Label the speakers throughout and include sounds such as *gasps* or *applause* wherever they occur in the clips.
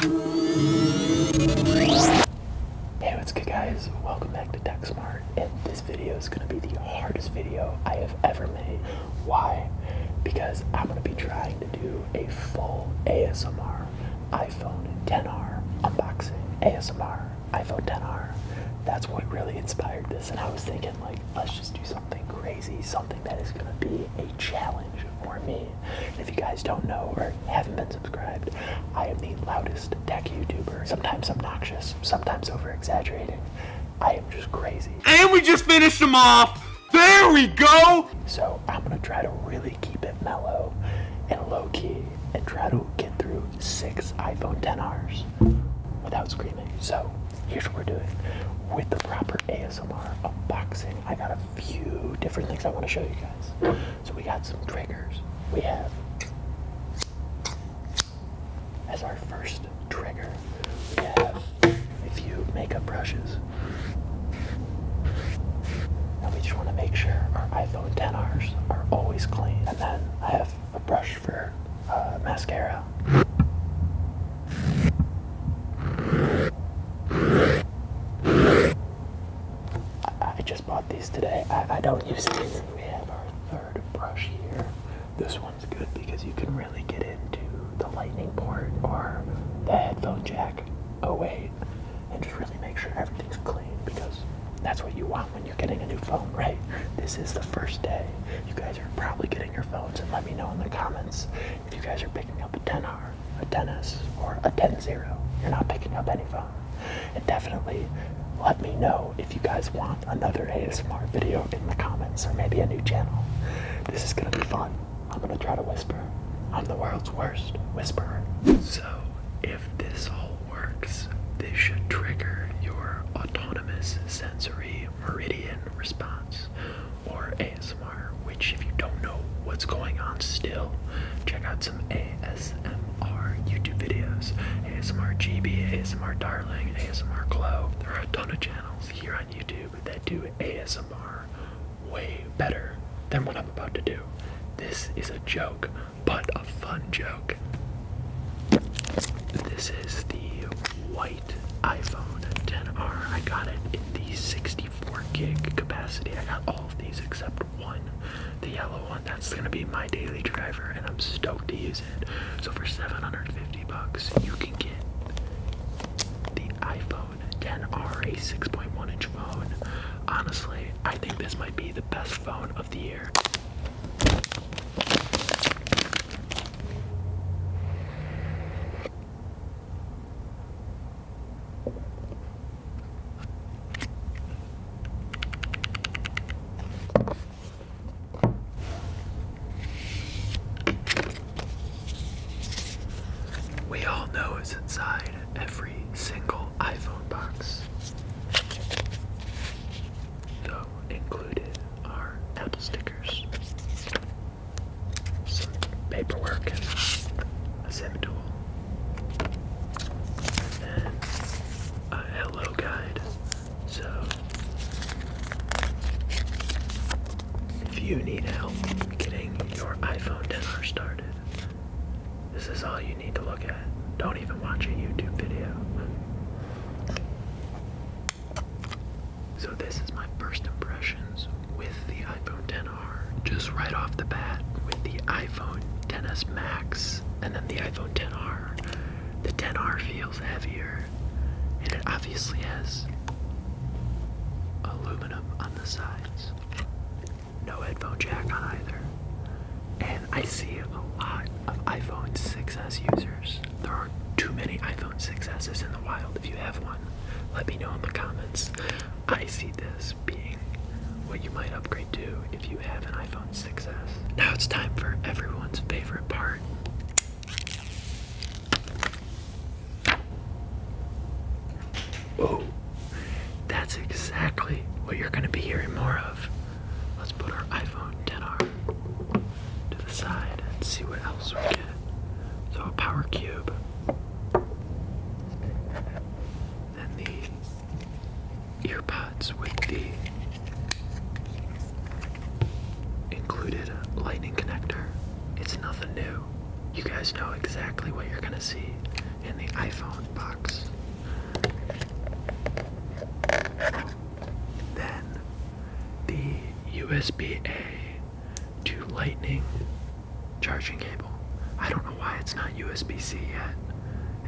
Speaker 1: Hey, what's good guys? Welcome back to TechSmart. And this video is gonna be the hardest video I have ever made. Why? Because I'm gonna be trying to do a full ASMR iPhone 10R unboxing. ASMR iPhone 10R. That's what really inspired this. And I was thinking like, let's just do something crazy, something that is gonna be a challenge for me. And if you guys don't know or haven't been subscribed, I am the loudest tech YouTuber. Sometimes obnoxious, sometimes over exaggerating. I am just crazy.
Speaker 2: And we just finished them off! There we go!
Speaker 1: So I'm gonna try to really keep it mellow and low key and try to get through six iPhone 10Rs without screaming. So here's what we're doing. With the proper ASMR unboxing, I got a few different things I want to show you guys. So we got some triggers. We have as our first trigger, we have a few makeup brushes. Now we just want to make sure our iPhone 10Rs are always clean. And then I have a brush for uh, mascara. I, just bought these today. I, I don't use these. We have our third brush here. This one's good because you can really get into the lightning port or the headphone jack away and just really make sure everything's clean because that's what you want when you're getting a new phone, right? This is the first day. You guys are probably getting your phones and let me know in the comments if you guys are picking up a 10R, a 10S, or a 10-0, you're not picking up any phone. And definitely let me know if you guys want another ASMR video in the comments or maybe a new channel. This is gonna be fun. I'm gonna try to whisper. I'm the world's worst whisperer. So if this all works, this should trigger your autonomous sensory meridian response or ASMR which, if you don't know what's going on still, check out some ASMR YouTube videos ASMR GB, ASMR Darling, ASMR Glow. There are a ton of channels here on YouTube that do ASMR way better than what I'm about to do. This is a joke, but a fun joke. This is the white iPhone 10R. I got it in the 60 64 gig capacity. I got all of these except one, the yellow one. That's gonna be my daily driver, and I'm stoked to use it. So for 750 bucks, you can get the iPhone 10R, a 6.1 inch phone. Honestly, I think this might be the best phone of the year. We all know it's inside every single iPhone box. Though included are Apple stickers, some paperwork, and a zip tool a hello guide. So if you need help getting your iPhone 10R started, this is all you need to look at. Don't even watch a YouTube video. So this is my first impressions with the iPhone 10R, just right off the bat with the iPhone 10s Max and then the iPhone 10R. The 10R feels heavier, and it obviously has aluminum on the sides. No headphone jack on either. And I see a lot of iPhone 6s users. There aren't too many iPhone 6s's in the wild. If you have one, let me know in the comments. I see this being what you might upgrade to if you have an iPhone 6S. Now it's time for everyone's favorite part. Whoa, that's exactly what you're gonna be hearing more of. Let's put our iPhone 10R to the side and see what else we get. So a power cube and the earpods with the included lightning connector. It's nothing new. You guys know exactly what you're gonna see in the iPhone box. Then the USB A to Lightning charging cable. I don't know why it's not USB-C yet.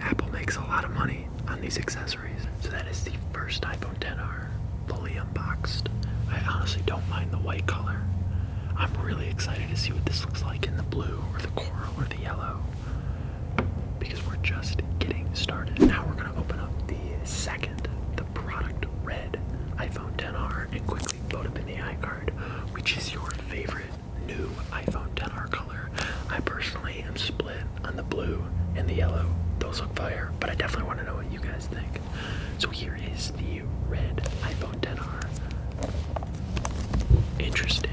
Speaker 1: Apple makes a lot of money on these accessories. So that is the first iPhone 10R fully unboxed. I honestly don't mind the white color. I'm really excited to see what this looks like in the blue or the coral or the yellow because we're just getting started. Now we're gonna open up the second, the product red iPhone 10R and quickly load up in the iCard, which is your favorite new iPhone 10R color. I personally am split on the blue and the yellow. Those look fire, but I definitely want to know what you guys think. So here is the red iPhone 10R. Interesting.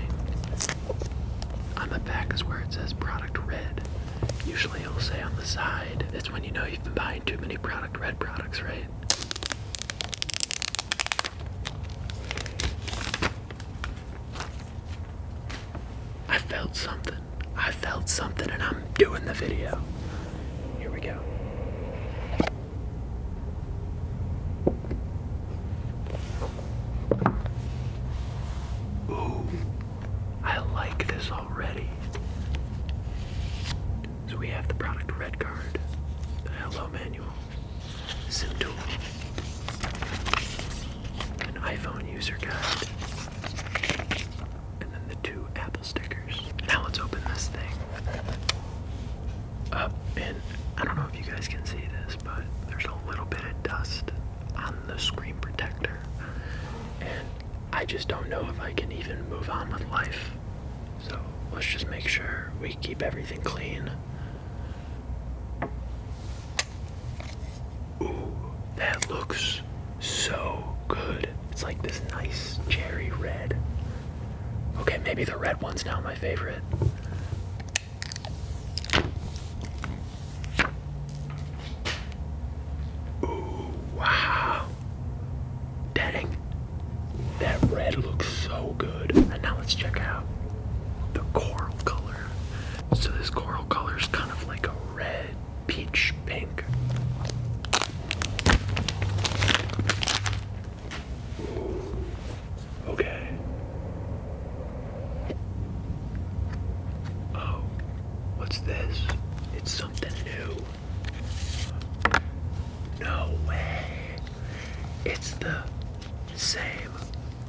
Speaker 1: On the back is where it says product red. Usually it'll say on the side. That's when you know you've been buying too many product red products, right? I felt something. I felt something, and I'm doing the video. Here we go. Ooh, I like this already. So we have the product red card, the hello manual, Simtool. An iPhone user guide. And then the two Apple stickers. Now let's open this thing up. And I don't know if you guys can see this, but there's a little bit of dust on the screen protector. And I just don't know if I can even move on with life so let's just make sure we keep everything clean. Ooh, that looks so good. It's like this nice cherry red. Okay, maybe the red one's now my favorite. Ooh, wow. Dang, that red looks so good. And now let's check out the coral color. So this coral color is kind of like a red peach pink. okay. Oh, what's this? It's something new. No way. It's the same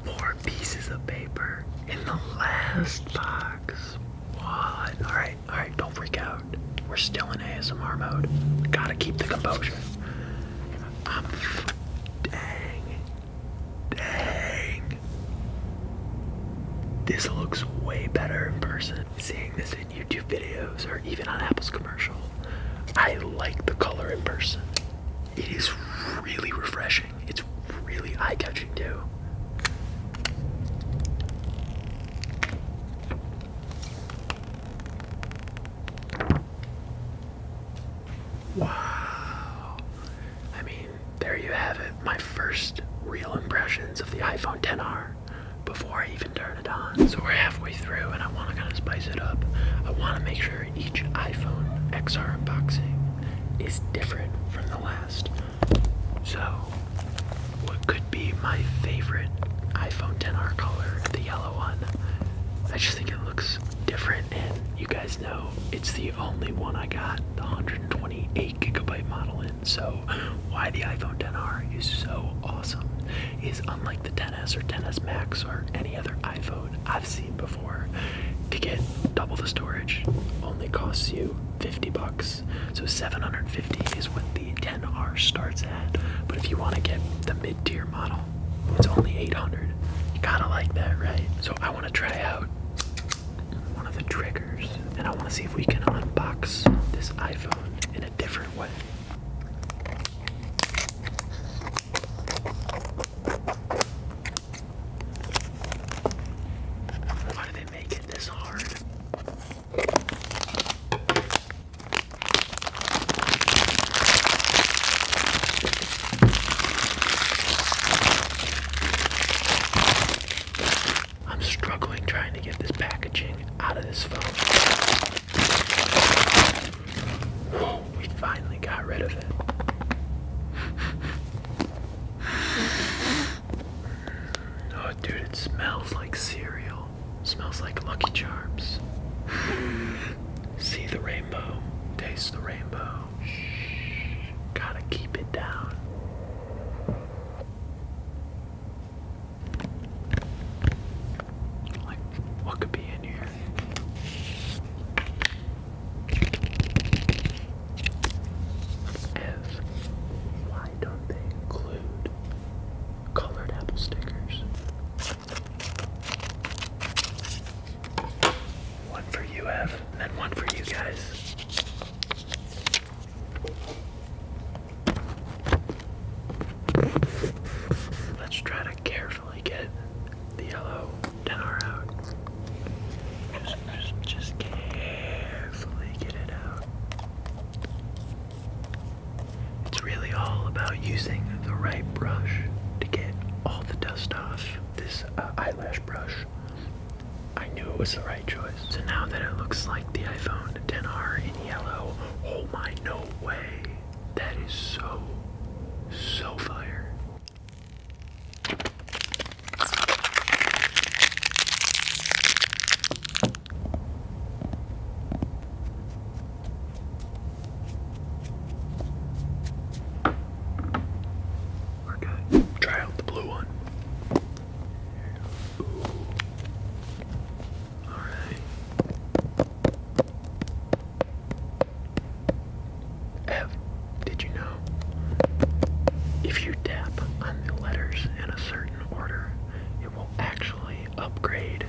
Speaker 1: four pieces of paper in the last box. What? Alright, alright, don't freak out. We're still in ASMR mode. Gotta keep the composure. dang. Dang. This looks way better in person. Seeing this in YouTube videos or even on Apple's commercial. I like the color in person. It is really refreshing. It's really eye-catching too. Wow. I mean, there you have it. My first real impressions of the iPhone 10R before I even turned so we're halfway through and I wanna kinda spice it up. I wanna make sure each iPhone XR unboxing is different from the last. So what could be my favorite iPhone 10R color, the yellow one. I just think it looks different and you guys know it's the only one I got the 128 gigabyte model in so why the iPhone 10R is so awesome is unlike the 10s or 10s Max or any other iPhone I've seen before. To get double the storage only costs you 50 bucks. So 750 is what the 10R starts at. But if you want to get the mid-tier model, it's only 800. You gotta like that, right? So I want to try out one of the triggers, and I want to see if we can unbox this iPhone in a different way. Why do they make it this hard? I'm struggling trying to get this packaging out of this phone. *gasps* we finally got rid of it. *laughs* Oh, dude, it smells like cereal. smells like Lucky Charms. See the rainbow. Taste the rainbow. Gotta keep it down. What could be in here? F. Why don't they include colored apple stickers? One for you, F, and one for you guys. Let's try to care just, carefully get it out. It's really all about using the right brush to get all the dust off. This uh, eyelash brush, I knew it was the right choice. So now that it looks like the iPhone 10R in yellow, oh my, no way. That is so, so fire. we Try out the blue one. Ooh. F, did you know? If you tap on the letters in a certain order, it will actually upgrade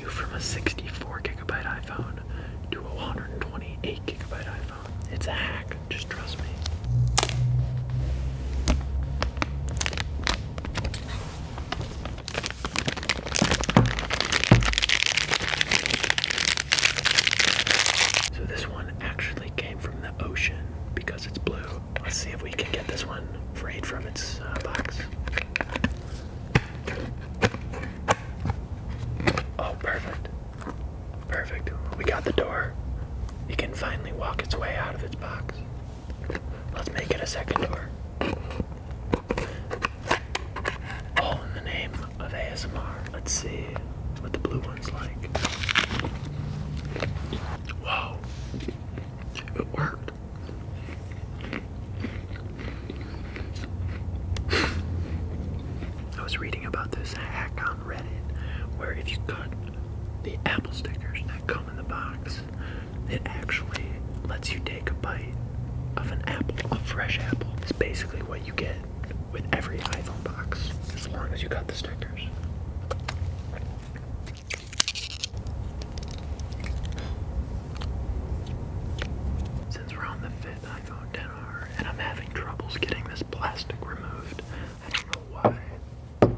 Speaker 1: you from a 64 gigabyte iPhone to a 128 gigabyte iPhone. It's a hack, just trust me. So this one actually came from the ocean because it's blue. Let's see if we can get this one freed from its uh, box. Oh, perfect. Perfect. We got the door. It can finally walk its way out of its box. Let's make it a second door. All in the name of ASMR. Let's see what the blue one's like. Whoa. It worked. I was reading about this hack on Reddit where if you cut the apple stickers that come in the box it actually lets you take a bite of an apple, a fresh apple. It's basically what you get with every iPhone box, as long as you got the stickers. Since we're on the fifth iPhone 10 and I'm having troubles getting this plastic removed, I don't know why.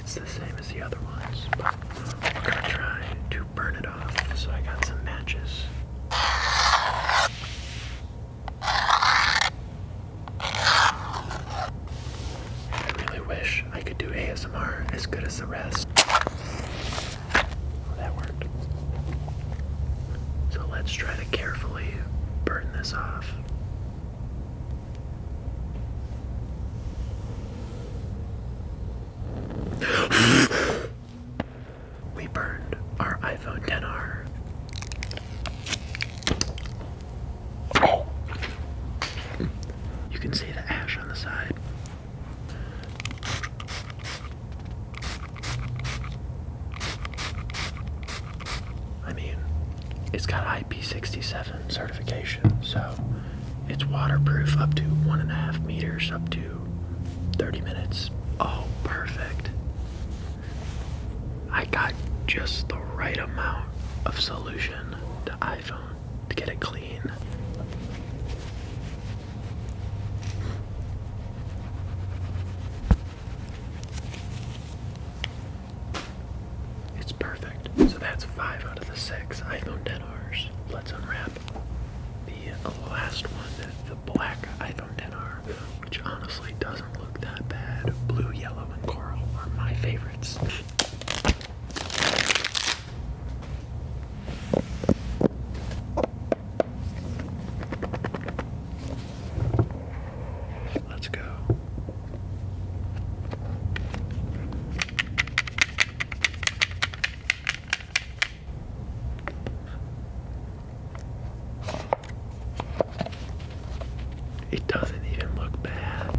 Speaker 1: It's the same as the other ones, we're gonna try to burn it so I got some matches. I really wish I could do ASMR as good as the rest. that worked. So let's try to carefully burn this off. We burned our iPhone 10R. You can see the ash on the side. I mean, it's got IP67 certification, so it's waterproof up to one and a half meters, up to 30 minutes. Oh, perfect. I got just the right amount of solution to iPhone to get it clean. It's perfect. So that's five out of the six iPhone 10 hours. Let's unwrap. The last one, the black iPhone 10R, which honestly doesn't look that bad. Blue, yellow, and coral are my favorites. Let's go. It doesn't even look bad.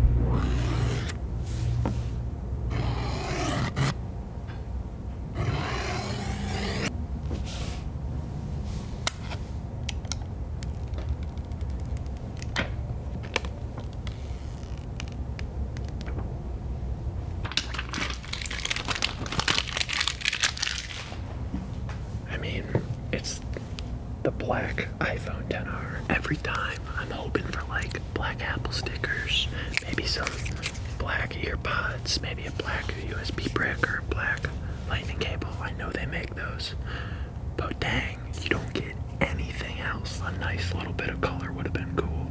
Speaker 1: I mean, it's the black iPhone 10R. Every time I'm hoping for like black Apple stickers, maybe some black earpods, maybe a black USB brick or a black lightning cable. I know they make those. But dang, you don't get anything else. A nice little bit of color would have been cool.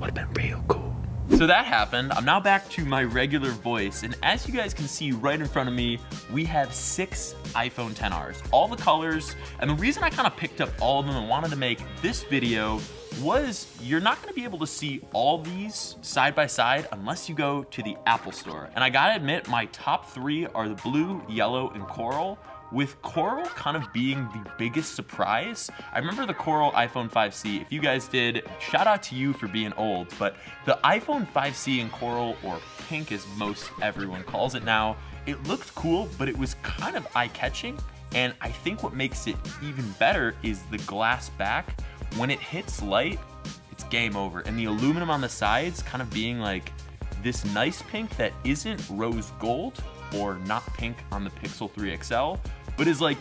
Speaker 1: Would have been real cool.
Speaker 2: So that happened. I'm now back to my regular voice, and as you guys can see right in front of me, we have six iPhone 10Rs, all the colors, and the reason I kind of picked up all of them and wanted to make this video was you're not gonna be able to see all these side by side unless you go to the Apple Store. And I gotta admit, my top three are the blue, yellow, and coral, with coral kind of being the biggest surprise I remember the Coral iPhone 5C. If you guys did, shout out to you for being old, but the iPhone 5C in Coral, or pink as most everyone calls it now, it looked cool, but it was kind of eye-catching, and I think what makes it even better is the glass back. When it hits light, it's game over, and the aluminum on the sides kind of being like this nice pink that isn't rose gold or not pink on the Pixel 3 XL, but is like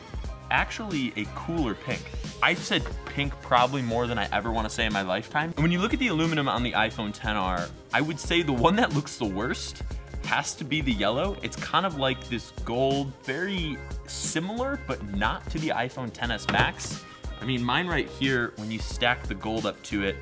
Speaker 2: actually a cooler pink. i said pink probably more than I ever want to say in my lifetime. And when you look at the aluminum on the iPhone 10R, I would say the one that looks the worst has to be the yellow. It's kind of like this gold, very similar, but not to the iPhone 10s Max. I mean, mine right here, when you stack the gold up to it,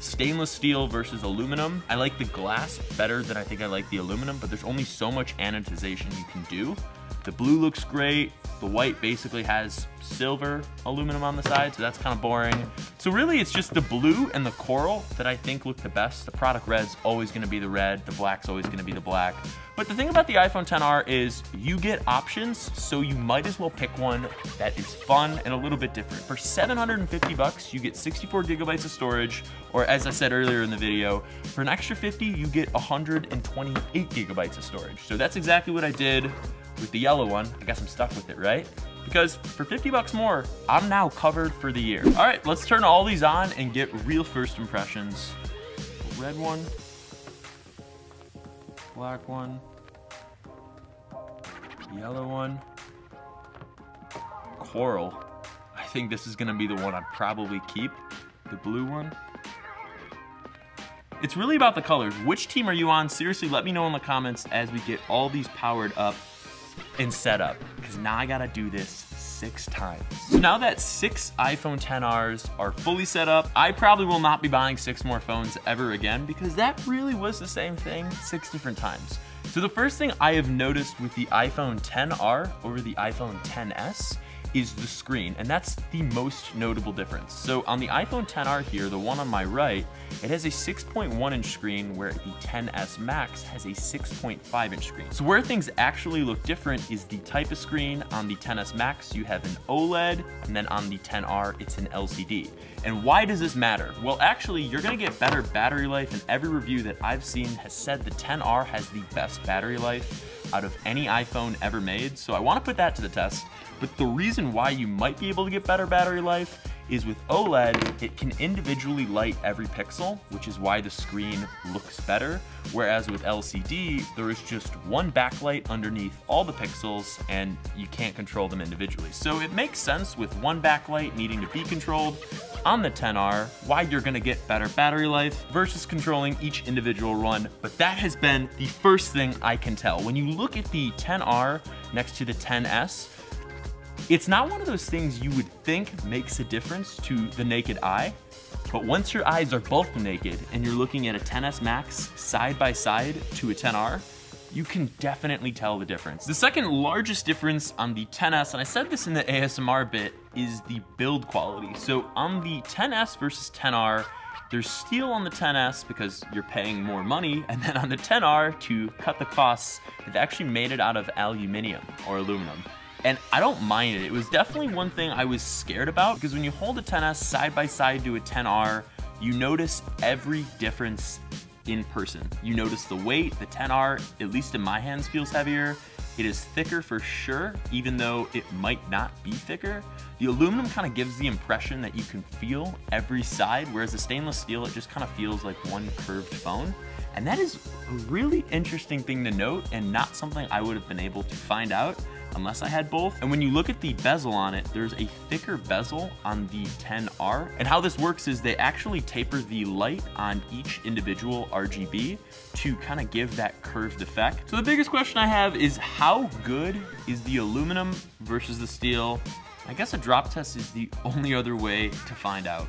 Speaker 2: stainless steel versus aluminum. I like the glass better than I think I like the aluminum, but there's only so much anodization you can do. The blue looks great. The white basically has silver aluminum on the side, so that's kind of boring. So really it's just the blue and the coral that I think look the best. The product red's always gonna be the red, the black's always gonna be the black. But the thing about the iPhone 10R is you get options, so you might as well pick one that is fun and a little bit different. For 750 bucks, you get 64 gigabytes of storage, or as I said earlier in the video, for an extra 50, you get 128 gigabytes of storage. So that's exactly what I did with the yellow one. I guess I'm stuck with it, right? Because for 50 bucks more, I'm now covered for the year. All right, let's turn all these on and get real first impressions. Red one, black one, yellow one, coral. I think this is gonna be the one i probably keep, the blue one. It's really about the colors. Which team are you on? Seriously, let me know in the comments as we get all these powered up and set up, because now I gotta do this six times. So now that six iPhone 10Rs are fully set up, I probably will not be buying six more phones ever again because that really was the same thing six different times. So the first thing I have noticed with the iPhone 10R over the iPhone 10s is the screen, and that's the most notable difference. So on the iPhone 10R here, the one on my right, it has a 6.1 inch screen where the 10S Max has a 6.5 inch screen. So where things actually look different is the type of screen. On the 10S Max, you have an OLED, and then on the 10R, it's an LCD. And why does this matter? Well, actually, you're gonna get better battery life, and every review that I've seen has said the 10R has the best battery life out of any iPhone ever made, so I wanna put that to the test. But the reason why you might be able to get better battery life is with OLED, it can individually light every pixel, which is why the screen looks better. Whereas with LCD, there is just one backlight underneath all the pixels and you can't control them individually. So it makes sense with one backlight needing to be controlled on the 10R why you're gonna get better battery life versus controlling each individual run. But that has been the first thing I can tell. When you look at the 10R next to the 10S, it's not one of those things you would think makes a difference to the naked eye, but once your eyes are both naked and you're looking at a 10S Max side by side to a 10R, you can definitely tell the difference. The second largest difference on the 10S, and I said this in the ASMR bit, is the build quality. So on the 10S versus 10R, there's steel on the 10S because you're paying more money, and then on the 10R, to cut the costs, they've actually made it out of aluminium or aluminum. And I don't mind it. It was definitely one thing I was scared about because when you hold a 10S side by side to a 10R, you notice every difference in person. You notice the weight, the 10R, at least in my hands, feels heavier. It is thicker for sure, even though it might not be thicker. The aluminum kind of gives the impression that you can feel every side, whereas the stainless steel, it just kind of feels like one curved bone, And that is a really interesting thing to note and not something I would have been able to find out unless I had both. And when you look at the bezel on it, there's a thicker bezel on the 10R. And how this works is they actually taper the light on each individual RGB to kind of give that curved effect. So the biggest question I have is how good is the aluminum versus the steel? I guess a drop test is the only other way to find out.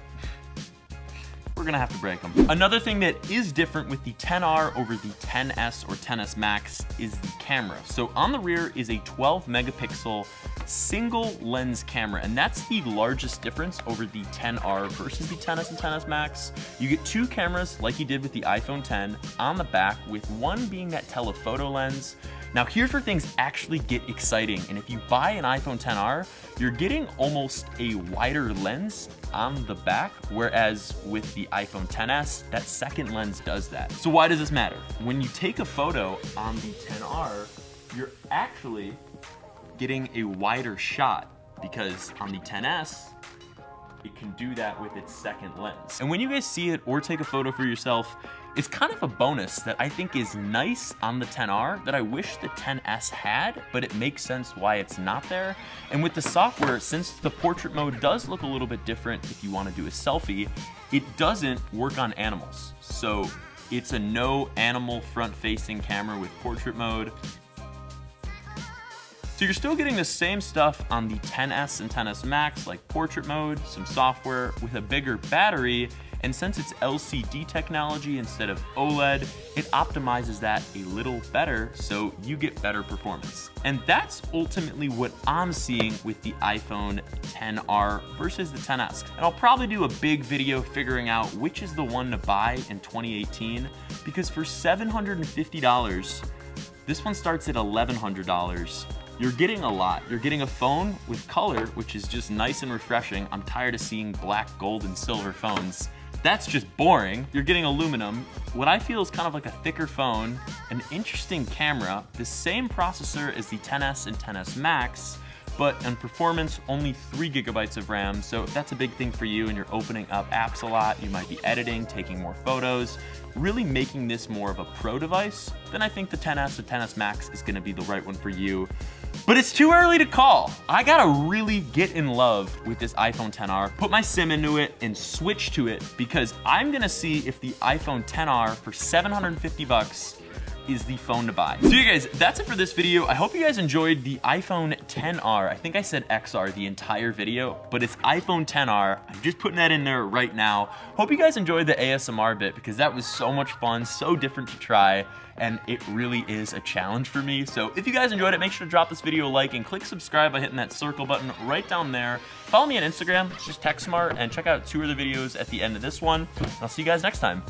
Speaker 2: We're gonna have to break them. Another thing that is different with the 10R over the 10S or 10S Max is the camera. So on the rear is a 12 megapixel single lens camera, and that's the largest difference over the 10R versus the 10S and 10S Max. You get two cameras like you did with the iPhone 10 on the back with one being that telephoto lens. Now here's where things actually get exciting and if you buy an iPhone 10R, you're getting almost a wider lens on the back, whereas with the iPhone 10s, that second lens does that. So why does this matter? When you take a photo on the 10R, you're actually getting a wider shot because on the 10S, it can do that with its second lens. And when you guys see it or take a photo for yourself, it's kind of a bonus that I think is nice on the 10R that I wish the 10S had, but it makes sense why it's not there. And with the software, since the portrait mode does look a little bit different if you wanna do a selfie, it doesn't work on animals. So it's a no animal front facing camera with portrait mode. So you're still getting the same stuff on the 10S and 10S Max, like portrait mode, some software with a bigger battery, and since it's LCD technology instead of OLED, it optimizes that a little better so you get better performance. And that's ultimately what I'm seeing with the iPhone 10R versus the 10S. And I'll probably do a big video figuring out which is the one to buy in 2018, because for $750, this one starts at $1,100. You're getting a lot. You're getting a phone with color, which is just nice and refreshing. I'm tired of seeing black, gold, and silver phones. That's just boring. You're getting aluminum. What I feel is kind of like a thicker phone, an interesting camera, the same processor as the 10S and 10S Max, but in performance only three gigabytes of RAM. So if that's a big thing for you and you're opening up apps a lot, you might be editing, taking more photos, really making this more of a pro device, then I think the 10S or 10S Max is gonna be the right one for you. But it's too early to call. I gotta really get in love with this iPhone 10R, put my SIM into it and switch to it because I'm gonna see if the iPhone 10R for 750 bucks is the phone to buy. So you guys, that's it for this video. I hope you guys enjoyed the iPhone 10R. I think I said XR the entire video, but it's iPhone 10R. I'm just putting that in there right now. Hope you guys enjoyed the ASMR bit because that was so much fun, so different to try, and it really is a challenge for me. So if you guys enjoyed it, make sure to drop this video a like and click subscribe by hitting that circle button right down there. Follow me on Instagram, it's just TechSmart, and check out two other videos at the end of this one. I'll see you guys next time.